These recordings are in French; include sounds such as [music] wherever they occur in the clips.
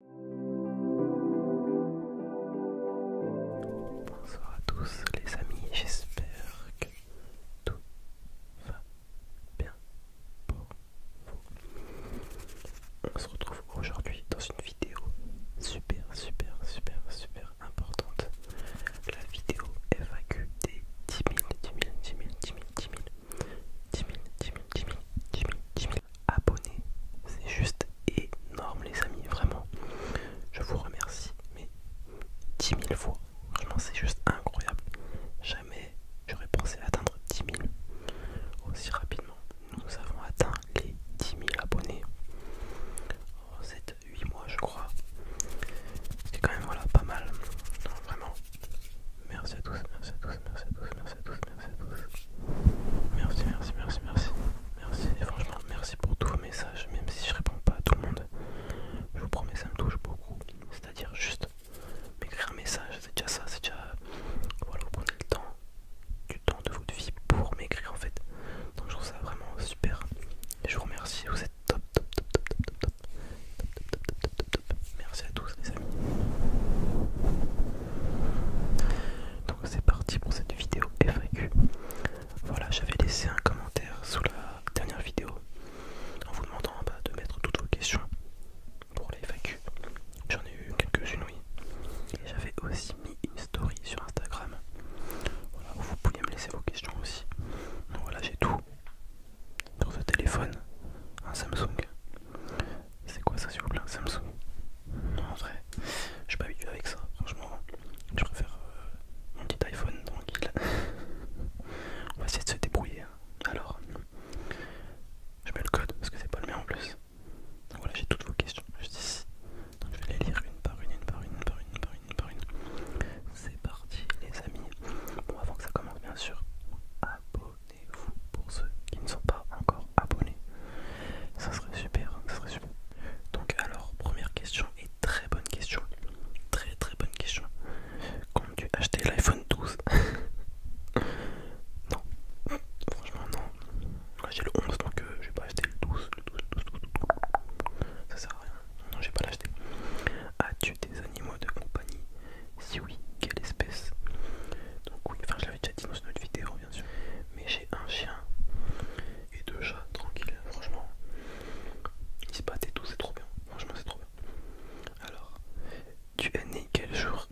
Bonsoir à tous les amis, j'espère que tout va bien pour vous. On se retrouve aujourd'hui dans une vidéo super super super super importante. La vidéo FAQ des 10 000, 10 000, 10 000, 10 000, 10 000, 10 000, abonnés, C'est juste énorme les amis, vraiment. Je vous remercie, mais 10 000 fois. vraiment c'est juste incroyable. Jamais j'aurais pensé atteindre 10 000 aussi rapidement. Nous avons atteint les 10 000 abonnés en 7-8 mois, je crois. C'est quand même voilà, pas mal. vraiment. Merci à tous, merci à tous, merci à tous, merci à tous merci à tous. Merci, merci, merci, merci. Merci, franchement, merci pour tous vos messages, même si je réponds pas à tout le monde. Je vous promets, ça me touche beaucoup. C'est-à-dire juste m'écrire un message, c'est déjà ça, c'est déjà... Voilà, vous prenez le temps, du temps de votre vie pour m'écrire en fait. Donc je trouve ça vraiment super. Et je vous remercie, vous êtes top, top, top, top, top, top, top, top, top, top, top, top. Merci à tous les amis c'est parti pour cette vidéo FAQ. Voilà, j'avais laissé un commentaire sous la dernière vidéo en vous demandant bah, de mettre toutes vos questions pour les FAQ. J'en ai eu quelques-unes, oui. Et j'avais aussi mis une story sur Instagram. Voilà, où vous pouviez me laisser vos questions aussi. Donc voilà, j'ai tout dans ce téléphone, un Samsung. C'est quoi ça s'il vous plaît Samsung Non en vrai, je suis pas habitué avec ça, franchement. Je préfère euh, mon petit iPhone tranquille. [laughs] On va essayer de se débrouiller. Hein. Alors, je mets le code parce que c'est pas le mien en plus. voilà, j'ai toutes vos questions juste ici. Donc je vais les lire une par une, une par une, une par une, une par une, par une. C'est parti les amis. Bon avant que ça commence bien sûr abonnez-vous pour ceux qui ne sont pas encore abonnés. Ça serait super, Donc alors, première question et très bonne question. Très très bonne question. Quand tu acheté l'iPhone 12 [laughs] Non. Franchement non. J'ai le 11 donc euh, je vais pas acheter le 12. Ça sert à rien. Non, j'ai pas l'acheter. As-tu des animaux de compagnie Si oui, quelle espèce Donc oui, enfin je l'avais déjà dit dans une autre vidéo, mais j'ai un chien et deux chats tranquille, franchement. Ils se battent et tout, c'est trop bien. Franchement, c'est trop bien. Alors, tu es né quel jour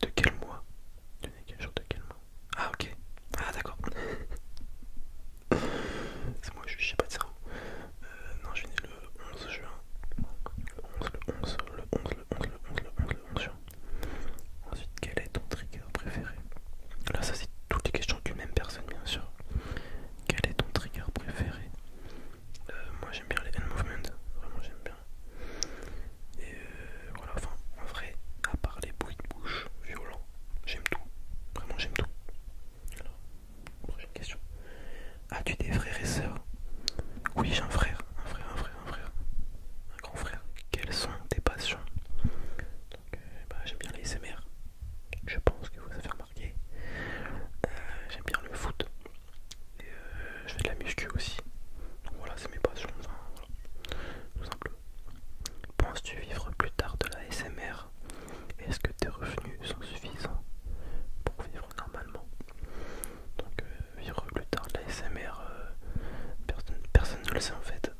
De quel mois Tu es né quel jour de quel mois Ah, ok. Ah, d'accord. c'est moi, je suis pas de cerveau. Euh, non, je suis né le 11 juin. Le 11, le 11, le 11, le 11, le 11, le 11, le 11 juin. Ensuite, quel est ton trigger préféré Là, ça c'est toutes les questions d'une même personne, bien sûr. Quel est ton trigger préféré euh, Moi, j'aime bien les hand movements, vraiment j'aime bien. Et euh, voilà, enfin, en vrai, à part les bruits de bouche violents, j'aime tout. Vraiment, j'aime tout. Alors, prochaine question. As-tu des frères et sœurs Oui, j'ai un frère, un frère, un frère un frère, un grand frère. Quelles sont tes passions euh, bah, J'aime bien les SMR, je pense que vous avez remarqué. Euh, j'aime bien le foot. Et, euh, je fais de la muscu aussi. voilà, c'est mes passions. Tout simplement. Penses-tu vivre plus tard de la SMR Est-ce que tes revenus sont suffisants pour vivre normalement vivre plus tard de la SMR, euh, personne, personne ne le sait en fait.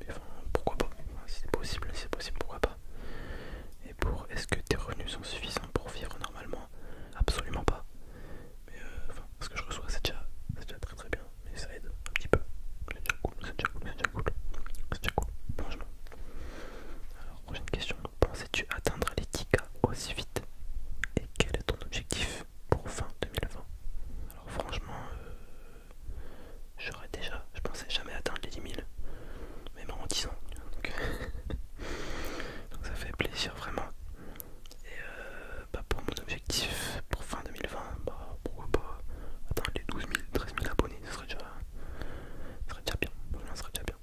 Mais pourquoi pas Si c'est possible, pourquoi pas Et pour est-ce que tes revenus sont suffisants pour vivre normalement Absolument pas. Mais euh, ce que je reçois, c'est déjà, très très bien, mais ça aide un petit peu. C'est déjà cool, c'est déjà cool, franchement. Alors, prochaine question. Pensais-tu atteindre les aussi vite Et quel est ton objectif pour fin 2020. Alors franchement, euh, j'aurais déjà, je pensais jamais atteindre les 10 000, même en 10 ans. [laughs] Donc, ça fait plaisir vraiment. Et euh, bah, pour mon objectif pour fin 2020, bah, pourquoi pas atteindre les 12 000, 13 000 abonnés, ce serait déjà, bien. ça serait déjà bien.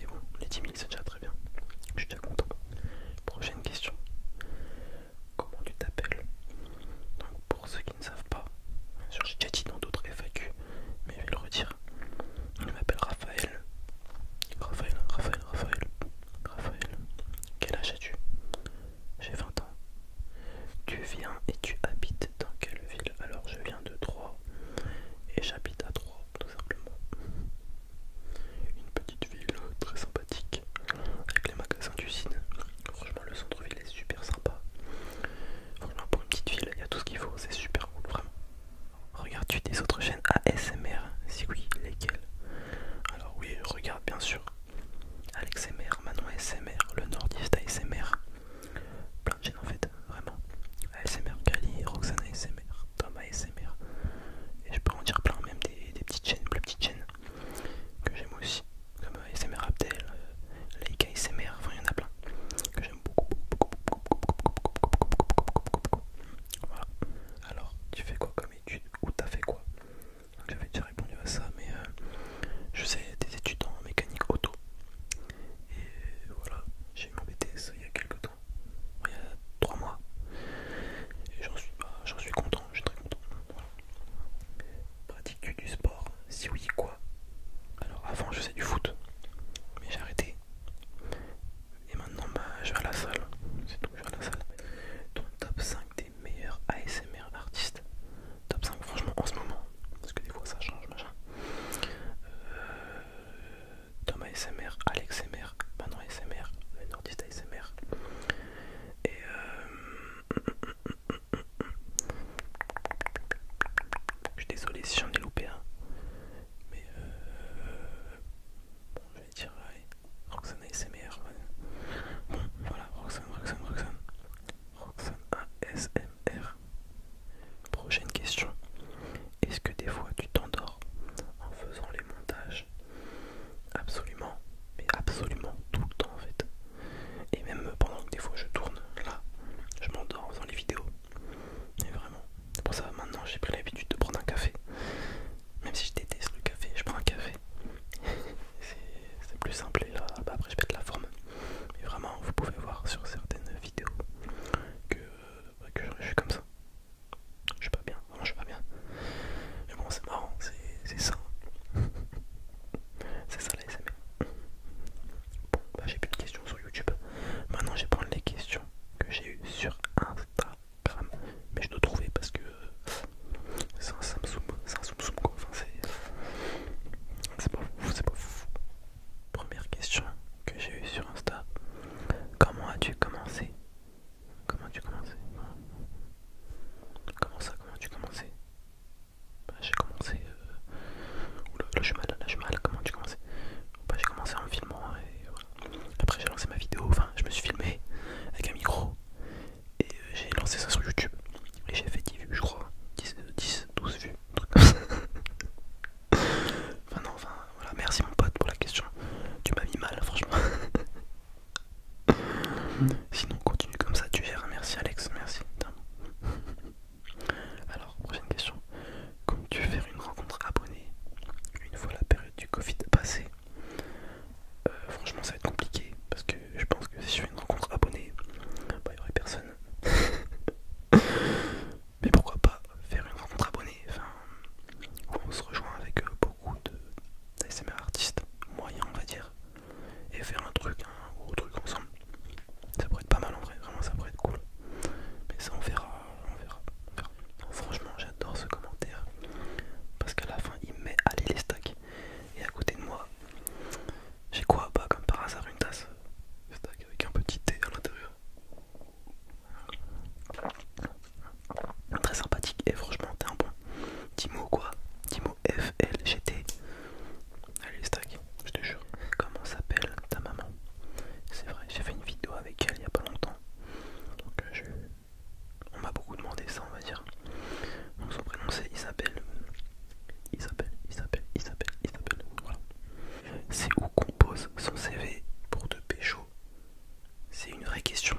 Et bon, les 10 000 c'est déjà très bien. Je suis déjà content. Prochaine question comment tu t'appelles. Donc pour ceux qui ne savent pas, je j'ai déjà dit dans d'autres FAQ, mais je vais le redire. Je m'appelle Raphaël. Raphaël, Raphaël, Raphaël, Raphaël. Quel âge as-tu J'ai 20 ans. Tu viens et tu habites dans quelle ville Alors je viens de Troyes et j'habite à Troyes tout simplement. Une petite ville très sympathique avec les magasins d'usine. Franchement, le centre-ville est super sympa. Franchement, pour une petite ville, il y a tout ce qu'il faut, c'est super cool, vraiment. regarde tu des autres chaînes ASMR Si oui, lesquelles Alors, oui, regarde bien sûr Alex Manon ASMR, le Nordiste ASMR. Plein de chaînes en fait, vraiment. ASMR Cali, Roxane ASMR, Tom ASMR et je peux en dire plein même des, petites chaînes plus petites chaînes que j'aime aussi comme ASMR Abdel euh, Like ASMR enfin il y en a plein que j'aime beaucoup, voilà alors tu fais quoi comme étude ou t'as fait quoi j'avais déjà répondu à ça mais je suis des études en mécanique auto et voilà j'ai eu mon BTS il y a quelques temps il y a 3 mois et j'en suis content je suis très content. pratique du sport Si oui, quoi Alors avant, je faisais du foot, mais j'ai arrêté. Et maintenant, bah, je vais à la salle. C'est tout, je vais à la salle. Ton top 5 des meilleurs ASMR artistes Top 5, franchement, en ce moment, parce que des fois ça change, machin. Euh, ASMR, Alex MR, ASMR, non, ASMR, le nordiste ASMR. Et euh, je suis désolé si j'en ai loupé un, mais euh... bon, je vais dire allez, Roxane ASMR. Bon, voilà, Roxanne, Roxanne, Roxanne Roxane ASMR. Prochaine question. Est-ce que des fois tu t'endors en faisant les montages absolument, mais absolument tout le temps en fait. Et même pendant que des fois je tourne, là, je m'endors dans les vidéos. mais vraiment, pour ça maintenant j'ai pris l'habitude de prendre un café. Même si je déteste le café, je prends un café. [laughs] c'est plus simple et là, bah, après je pète la forme. Mais vraiment, vous pouvez voir sur certaines vidéos que je suis comme ça. Je suis pas bien, vraiment je suis pas bien. Mais bon, c'est marrant, c'est ça. [laughs] c'est ça la SMR. Bon, bah j'ai plus de questions sur YouTube. Maintenant, je vais prendre les questions que j'ai eues sur Instagram. Mais je dois trouver parce que c'est un Samsung, c'est un Samsung quoi. Enfin, c'est pas fou, c'est pas fou. Première question que j'ai eue sur Insta. Comment as-tu commencé Comment tu commençais Comment ça Comment tu commençais bah, J'ai commencé. Euh, le chemin là je Comment tu commençais bah, J'ai commencé en filmant et voilà. Après j'ai lancé ma vidéo, enfin je me suis filmé avec un micro et euh, j'ai lancé ça sur YouTube. Et j'ai fait 10 vues, je crois. 10, 12 euh, vues, [laughs] enfin, non, enfin, voilà. Merci mon pote pour la question. Tu m'as mis mal, franchement. [laughs] Sinon, continue comme ça, tu verras. Merci, Alex. Merci. Alors, prochaine question. Comment tu fais une rencontre abonnée une fois la période du Covid passée euh, Franchement, ça va être compliqué parce que je pense que si je fais une rencontre abonnée, bah, il n'y aurait personne. [laughs] Mais pourquoi pas faire une rencontre abonnée enfin, on se rejoint avec euh, beaucoup de, mes artiste moyen on va dire et faire un truc, un gros truc ensemble. Ça pourrait être pas mal en vrai, vraiment ça pourrait être cool. Mais ça on verra, on verra. franchement j'adore ce commentaire parce qu'à la fin il met aller les stacks et à côté de moi j'ai quoi bah comme par hasard une tasse stack avec un petit thé à l'intérieur très sympathique et franchement t'es un bon Dis-moi quoi Timo t Allez stack je te jure Comment s'appelle ta maman C'est vrai j'ai fait une vidéo avec elle il y a pas longtemps Donc euh, On m'a beaucoup demandé ça on va dire Donc son prénom c'est Isabelle Isabelle Isabelle Isabelle Isabelle C'est où compose son CV pour de pécho c'est une vraie question.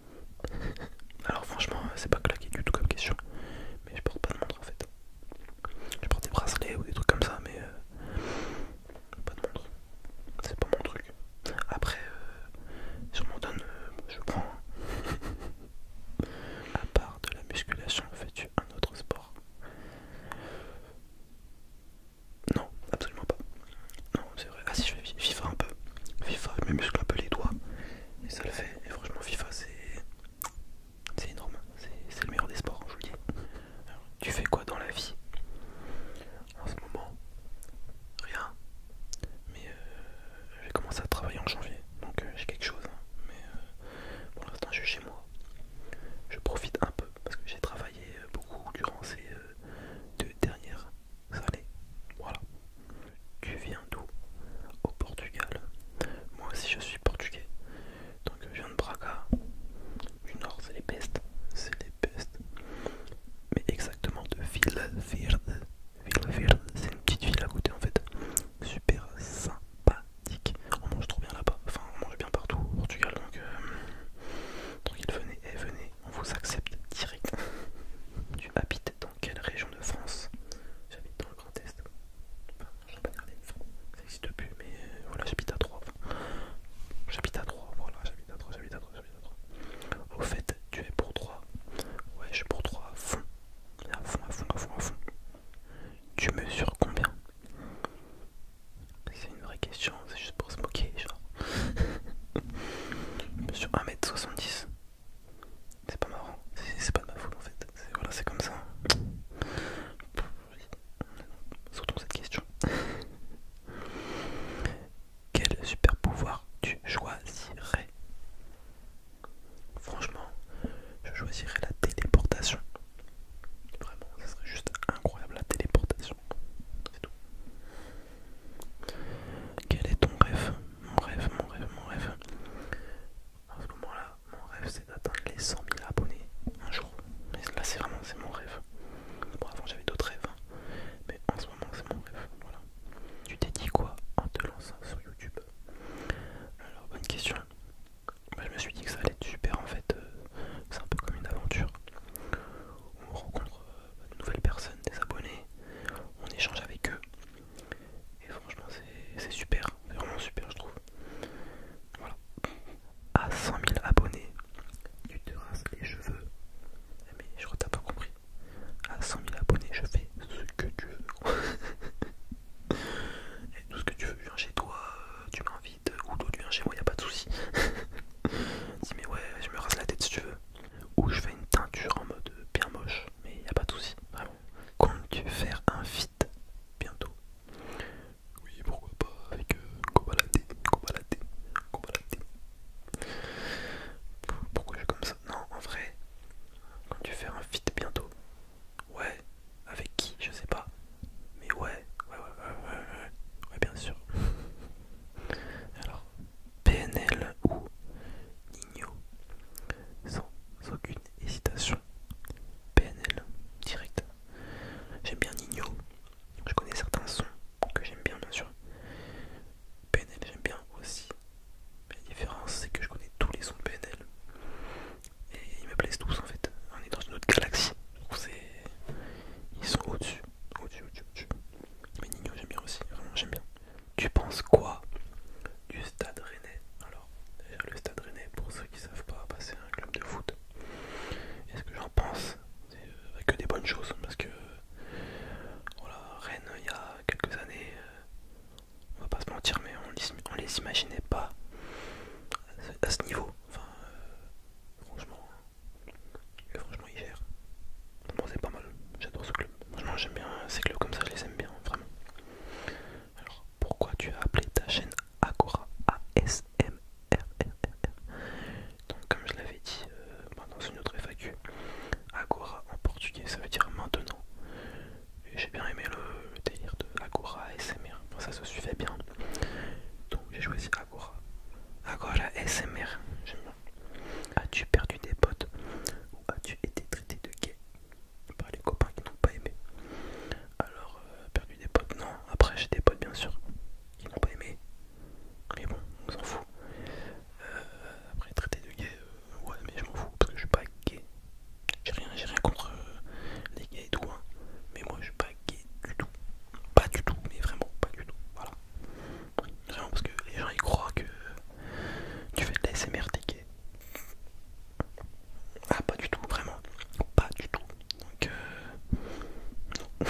Alors franchement euh, c'est pas claqué du tout comme question mais je porte pas de montre en fait. Je porte des bracelets ou des trucs comme ça mais euh, pas de montre. C'est pas mon truc. Après euh, si donne je prends. à part de la musculation, fais-tu un autre sport Non, absolument pas. Non, ah si, je fais FIFA un peu. FIFA, je me muscle un peu les doigts. Et ça le fait. Et franchement, FIFA, c'est énorme. C'est le meilleur des sports, je vous le dis. tu fais quoi dans la vie En ce moment, rien. Mais euh, je vais commencer à travailler en janvier. Donc euh, j'ai quelque chose. Hein. Mais euh, pour l'instant, je suis chez moi. Je profite un peu parce que j'ai travaillé beaucoup durant ces deux dernières salé. Voilà. Tu viens d'où Au Portugal. Moi aussi je suis portugais. Donc je viens de Braga. Du nord c'est les pestes. C'est les pestes. Mais exactement de Vila Verde. c'est une petite ville à côté en fait. Super sympathique. On mange trop bien là-bas. Enfin on mange bien partout au Portugal donc... Tranquille, euh, venez, et eh, venez, on vous accepte direct. [laughs] Tu habites dans quelle région de France J'habite dans le Grand Est. Enfin, j'ai pas regardé, France. ça n'existe plus, mais euh, voilà, j'habite à 3. j'habite à 3, voilà, j'habite à 3, j'habite à 3, j'habite à Troyes. Au fait, tu es pour 3. Ouais, je suis pour 3 à fond. À fond, à fond, à fond, à fond. Tu mesures combien C'est une vraie question, c'est juste pour se moquer, genre. [laughs] Sur 1m70. C'est pas marrant, c'est pas de ma foule en fait, c'est comme ça. Surtout cette question. Quel super pouvoir tu choisirais Franchement, je choisirais la téléportation. Vraiment, ça serait juste incroyable la téléportation. C'est tout. Quel est ton rêve mon rêve, mon rêve, mon rêve. en ce moment-là, mon rêve c'est d'atteindre les 100 000 abonnés un jour. Mais là c'est vraiment c'est mon rêve. avant j'avais d'autres rêves, hein. mais en ce moment c'est mon rêve. Voilà. Tu t'es dit quoi en te lançant sur YouTube Alors bonne question. Bah, je me suis dit que ça allait être super en fait. Euh, c'est un peu comme une aventure. On rencontre euh, de nouvelles personnes, des abonnés, on échange avec eux, et franchement, c'est super, vraiment super, je trouve. Voilà. À 100 000 abonnés, tu te rasses les cheveux. Ah, mais je crois que t'as pas compris. À 100 000 abonnés, je fais ce que tu veux. [laughs] Et tout ce que tu veux, viens chez toi, euh, tu m'invites, ou tu viens chez moi, y a pas de soucis. [laughs] Dis, mais ouais, je me rase la tête si tu veux. Ou je fais une teinture en mode bien moche, mais il a pas de soucis, vraiment. Quand tu fais un fit bientôt Oui, pourquoi pas, avec euh, Pourquoi je fais comme ça Non, en vrai, Quand tu fais un fit bientôt Ouais, avec qui Je sais pas. Mais ouais, ouais, ouais, ouais, ouais, ouais, ouais bien sûr. [laughs] Alors, PNL ou Nino, sans aucune hésitation. PNL, direct. J'aime bien Nino, je connais certains sons que j'aime bien bien sûr. PNL j'aime bien aussi. la différence c'est que je connais tous les sons de PNL. Et ils me plaisent tous en fait. On est dans une autre galaxie. Ils sont au-dessus. Au-dessus, au-dessus, Mais Nino j'aime bien aussi, vraiment j'aime bien. Tu penses quoi du Stade Rennais Alors, le Stade Rennais, pour ceux qui savent pas, bah, c'est un club de foot. Et ce que j'en pense, c'est euh, que des bonnes choses, parce que euh, voilà, Rennes, il y a quelques années, euh, on va pas se mentir, mais on, on les imaginait pas à ce niveau. Enfin, franchement, franchement, ils gèrent. c'est pas mal. J'adore ce club j'aime bien euh, ces que comme ça, je les aime bien, vraiment. Alors, pourquoi tu as appelé ta chaîne Agora ASMR Donc, comme je l'avais dit pendant euh, bah, dans une autre FAQ, Agora en portugais ça veut dire maintenant. j'ai bien aimé le, délire de Agora ASMR, ça se suivait bien. Donc, j'ai choisi Agora. Agora ASMR, j'aime bien. As-tu perdu des potes ou as-tu été traité de gay par les copains qui n'ont pas aimé. Alors, euh, perdu des potes, non. Après, j'ai des potes, bien sûr, qui n'ont pas aimé. Mais bon, on s'en fout. Euh, après, traité de gay, euh, ouais, mais je m'en fous parce que je suis pas gay. J'ai rien, rien contre les gays et tout, hein. mais moi, je suis pas gay du tout. Pas du tout, mais vraiment pas du tout. Voilà. Vraiment parce que les gens ils croient que tu fais de la ticket. Ah pas du tout, vraiment. Pas du tout. Donc euh...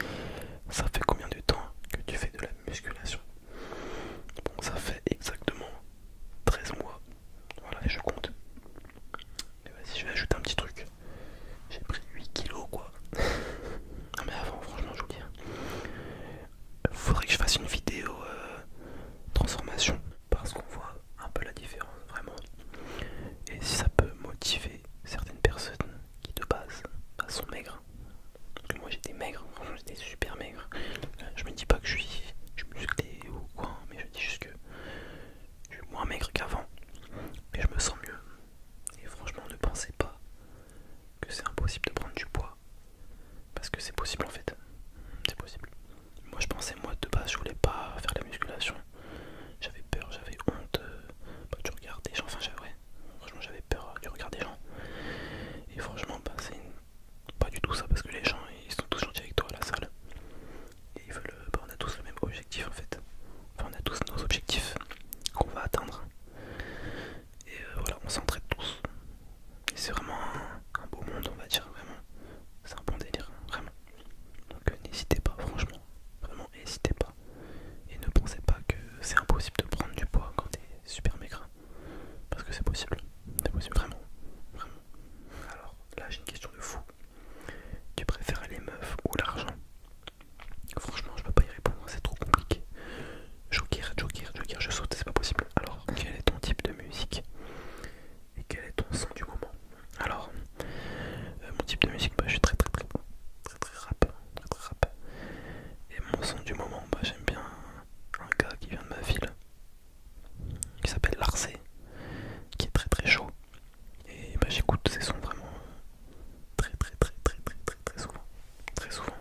[laughs] ça fait combien de temps que tu fais de la musculation Bon ça fait exactement 13 mois. Voilà et je compte. Et vas-y je vais ajouter un petit truc. J'ai pris 8 kilos quoi. [laughs] mais avant franchement je vous dis. Hein faudrait que je fasse une vidéo euh, transformation parce qu'on voit un peu la différence vraiment et si ça peut motiver certaines personnes qui de base bah, sont maigres moi j'étais maigre franchement j'étais super maigre euh, je me dis pas que je suis musclé ou quoi hein, mais je dis juste que je suis moins maigre qu'avant et je me sens mieux et franchement ne pensez pas que c'est impossible de prendre du poids parce que c'est possible en fait. C'est possible. Moi je pensais, moi de base, je voulais pas faire la musculation. J'avais peur, j'avais honte euh, bah, du regard des gens. Enfin, j'avais, franchement, j'avais peur euh, de regarder des gens. Et franchement, bah, c'est pas du tout ça parce que les gens ils sont tous gentils avec toi à la salle. Et ils veulent, euh, bah, on a tous le même objectif en fait. Enfin, on a tous nos objectifs qu'on va atteindre. Et euh, voilà, on s'entraide tous. c'est vraiment un, beau monde, on va dire, vraiment. C'est un bon délire, vraiment. Donc euh, n'hésitez pas, franchement. Vraiment, n'hésitez pas. Et ne pensez pas que c'est impossible de prendre du poids quand t'es super maigre. Parce que c'est possible. C'est possible, vraiment. Vraiment. Alors, là, j'ai une question de fou. Tu préfères les meufs ou l'argent Franchement, je peux pas y répondre, c'est trop compliqué. Joker, Joker, Joker, je saute, c'est pas possible. Alors, quel est ton type de musique et quel est ton son du moment Alors, euh, mon type de musique, bah, je suis très très très rap, très rap. Et mon son du moment, bah, j'aime bien un gars qui vient de ma ville, qui s'appelle Larcé, qui est très très chaud. Et bah, j'écoute ses sons vraiment très très très très très très très souvent très souvent.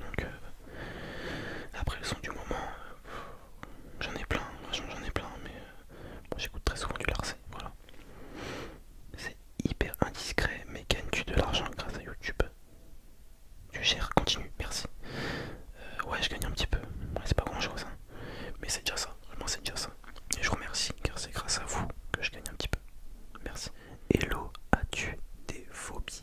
Donc, euh, après le son du moment, euh, j'en ai plein, franchement j'en ai plein, mais euh, j'écoute très souvent du Larcé, voilà. C'est hyper indiscret, mais gagne tu de l'argent grâce à YouTube Tu gères, continue, merci. ouais, je gagne un petit peu, c'est pas grand chose, hein. mais c'est déjà ça, vraiment c'est déjà ça. Et je remercie car c'est grâce à vous que je gagne un petit peu. Merci. Hello, as-tu des phobies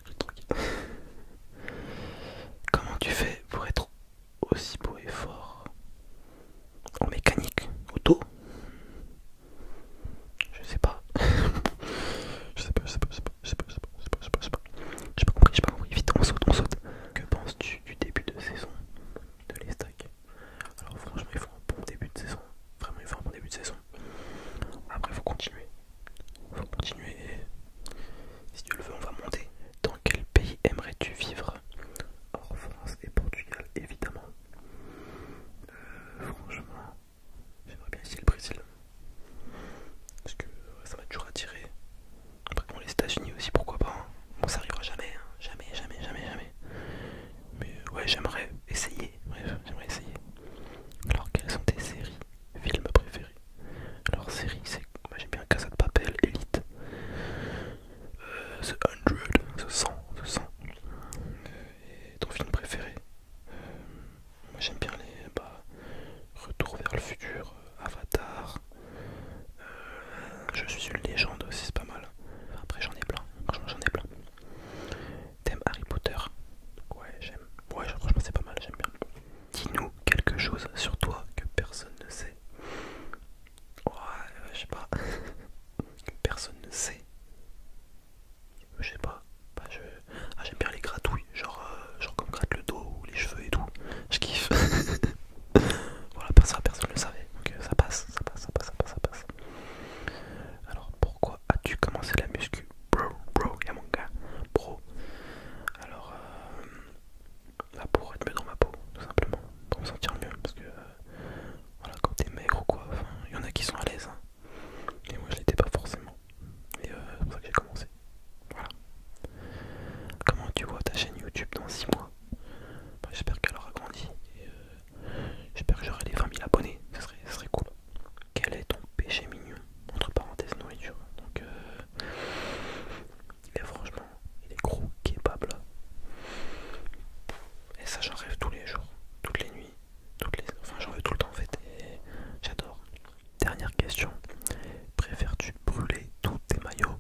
Comment tu fais pour être aussi beau et fort En mécanique Auto [laughs] Je sais pas. je sais pas, je sais pas, je sais pas, je sais pas, je sais pas, je sais pas, je sais pas. J'ai pas compris, j'ai pas compris. Vite, on saute, on saute. Que penses-tu du début de saison de les Alors franchement, il faut un bon début de saison. Vraiment, il faut un bon début de saison. Après, il faut continuer faut continuer. Si tu le veux, on va monter. Dans quel pays aimerais-tu vivre en France et Portugal, évidemment. Euh, franchement, j'aimerais bien essayer le Brésil. Parce que ça m'a toujours attiré. Après, les États-Unis aussi, pourquoi pas. Hein. Bon, ça arrivera jamais, hein. jamais, jamais, jamais, jamais. Mais ouais, j'aimerais essayer. Bref, j'aimerais essayer. Alors, quelles sont tes séries, films préférés alors, série, c'est. Moi j'aime bien Casa de Papel, Elite, euh, The 100, The 100, The 100. Et ton film préféré euh, Moi j'aime bien les. Bah, Retour vers le futur, Avatar. Euh, je suis une légende aussi, c'est pas mal. Après, j'en ai plein. Franchement, j'en ai plein. T'aimes Harry Potter Ouais, j'aime. Ouais, franchement, c'est pas mal, j'aime bien. Dis-nous quelque chose sur toi que personne ne sait. Ouais, je sais pas. que personne ne sait. Je sais pas. Ah, j'aime bien les gratouilles, genre, comme gratte le dos ou les cheveux et tout. Je kiffe. voilà, ça personne ne le savait. Donc ça passe, ça passe, ça passe, ça passe, ça passe. Alors pourquoi as-tu commencé la muscu bro, bro, y'a mon gars, bro. Alors, euh, la peau pour être mieux dans ma peau, tout simplement, pour me sentir mieux, parce que euh, voilà, quand t'es maigre ou quoi, il y en a qui sont à l'aise, hein. et moi je l'étais pas forcément, et euh, c'est pour ça que j'ai commencé. Voilà. Comment tu vois ta chaîne YouTube dans 6 mois bah, J'espère qu'elle aura grandi, et j'espère que j'aurai les 20 000 abonnés, ce serait cool. Quel est ton péché mignon Entre parenthèses, nourriture. Donc, euh, est franchement, il est gros capable. Et ça, j'en rêve tous les jours, toutes les nuits, toutes les. Enfin, j'en rêve tout le temps en fait. Et j'adore. Dernière question. Préfères-tu brûler tous tes maillots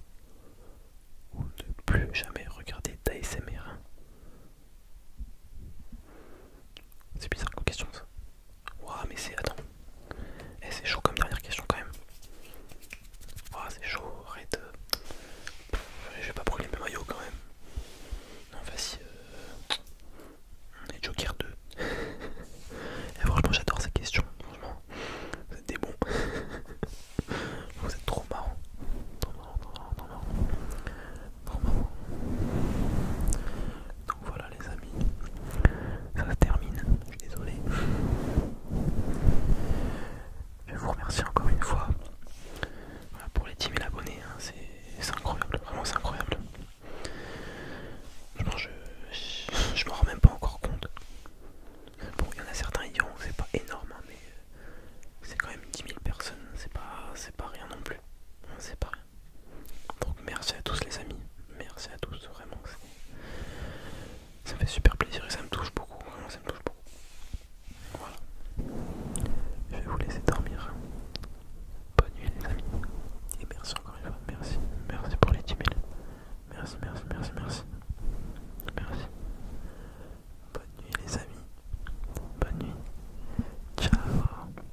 ou ne plus jamais regarder ta SMR C'est bizarre comme question ça. Ouah mais c'est... Attends. et eh, c'est chaud comme dernière question quand même. c'est chaud, red euh. Je vais pas brûler mes maillots quand même. Non vas-y. Euh. On Joker 2. [laughs] Et franchement j'adore ces questions. Franchement. Vous êtes des bons. [laughs] Vous êtes trop marrant. Voilà les amis, ça se termine, je suis désolé. Je vous remercie encore une fois pour les 10 000 abonnés, hein. c'est incroyable, vraiment c'est incroyable. je, m'en rends même pas encore compte. Bon, il y en a certains, qui diront c'est pas énorme, hein, mais euh, c'est quand même 10 000 personnes, c'est pas, pas rien non plus. C'est pas donc merci à tous les amis, merci à tous vraiment. Ça fait super plaisir et ça me touche beaucoup, vraiment ça me touche beaucoup. Voilà. Je vais vous laisser dormir. Bonne nuit les amis. Et merci encore une fois. Merci. Merci pour les 10 000. Merci, merci, merci, merci. Merci. Bonne nuit les amis. Bonne nuit. Ciao.